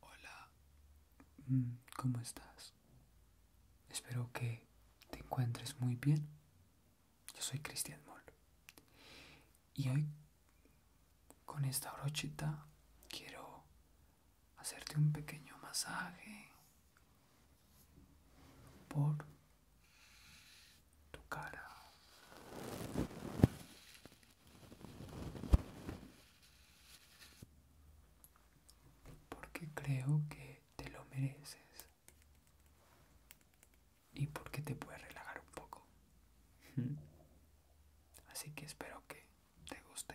Hola, mm, ¿cómo estás? Espero que te encuentres muy bien. Yo soy Cristian Mol Y hoy, con esta brochita, quiero hacerte un pequeño masaje por tu cara. Porque creo que te lo mereces. Y porque te puedes relajar un poco. Así que espero que te guste.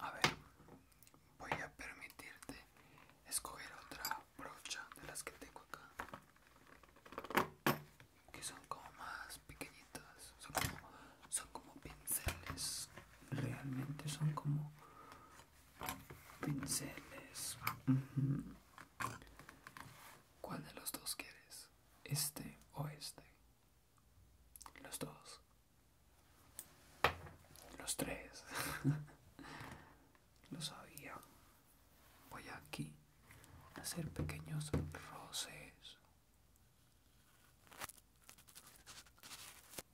A ver, voy a permitirte escoger otra brocha de las que tengo acá, que son como más pequeñitas, son como, son como pinceles, realmente son como pinceles. ¿Cuál de los dos quieres? ¿Este o este? Los dos. Los tres. Lo sabía. Voy aquí a hacer pequeños roces.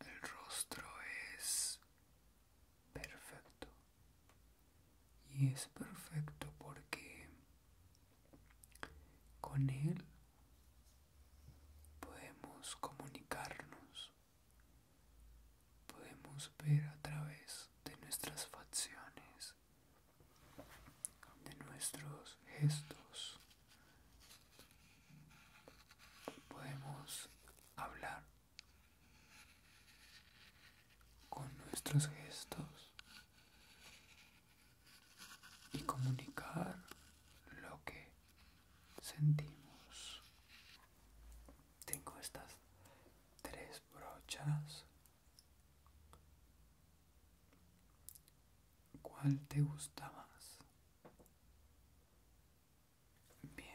El rostro es perfecto y es perfecto porque con él podemos comunicarnos, podemos ver a través de nuestras facciones, de nuestros gestos, podemos hablar con nuestros gestos y comunicar lo que sentimos. Tengo estas tres brochas. ¿Cuál te gusta más? Bien.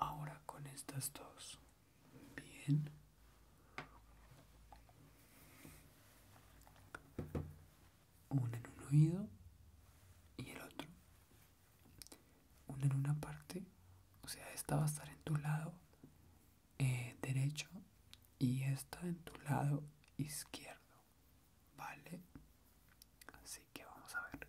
Ahora con estas dos Bien. Una en un oído y el otro. Una en una parte. O sea, esta va a estar en tu lado eh, derecho y esta en tu lado izquierdo. ¿Vale? Así que vamos a ver.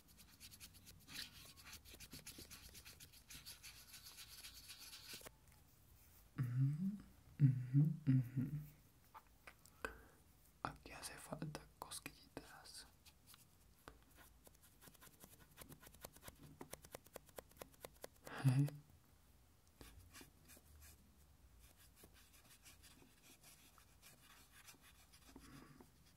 mhm mhm mhm Aquí hace falta cosquillitas.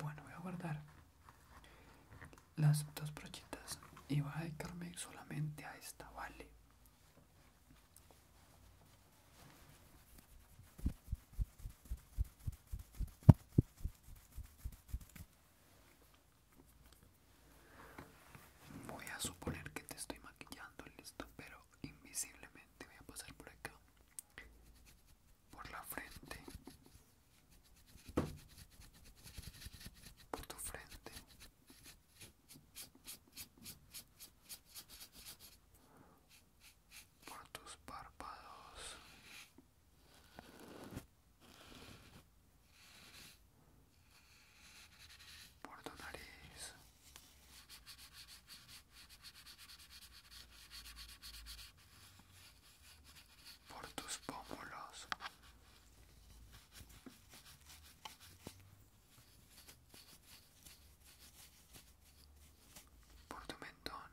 Bueno, voy a guardar las dos brochitas y voy a dedicarme solamente a esta, ¿vale? Voy a suponer que te estoy maquillando, listo, pero invisiblemente voy a pasar por acá, por la frente, por tu frente. Por tus párpados, por tu nariz. Por tus pómulos, por tu mentón,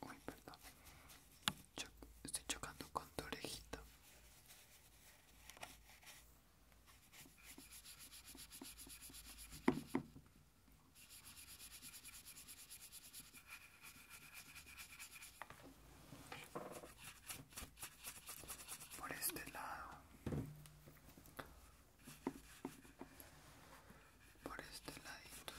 Uy, perdón. estoy chocando con tu orejita por este lado por este ladito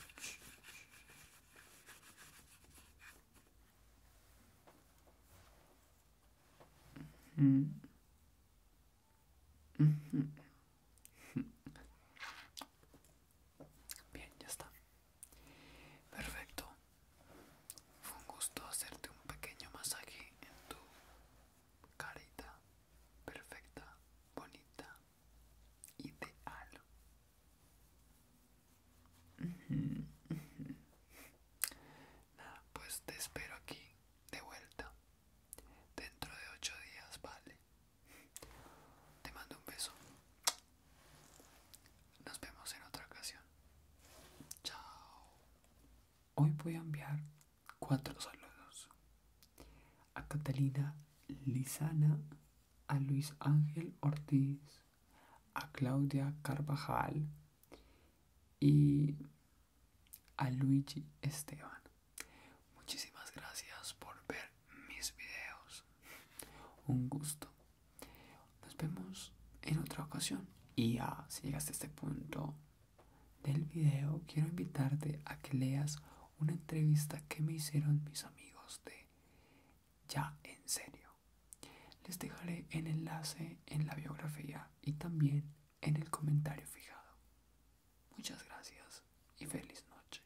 Bien, ya está. Perfecto. Fue un gusto hacerte un pequeño masaje en tu carita perfecta, bonita, ideal. Nada, pues te espero aquí de vuelta. Dentro de ocho días, vale. Te mando un beso. Nos vemos en otra ocasión. Chao. Hoy voy a enviar cuatro saludos. A Catalina Lizana, a Luis Ángel Ortiz, a Claudia Carvajal y a Luigi Esteban. Muchísimas gracias por ver mis videos. Un gusto. Nos vemos en otra ocasión. Y ya, si llegaste a este punto del video, quiero invitarte a que leas una entrevista que me hicieron mis amigos de Ya en serio. Les dejaré el enlace en la biografía y también en el comentario fijado. Muchas gracias y feliz noche.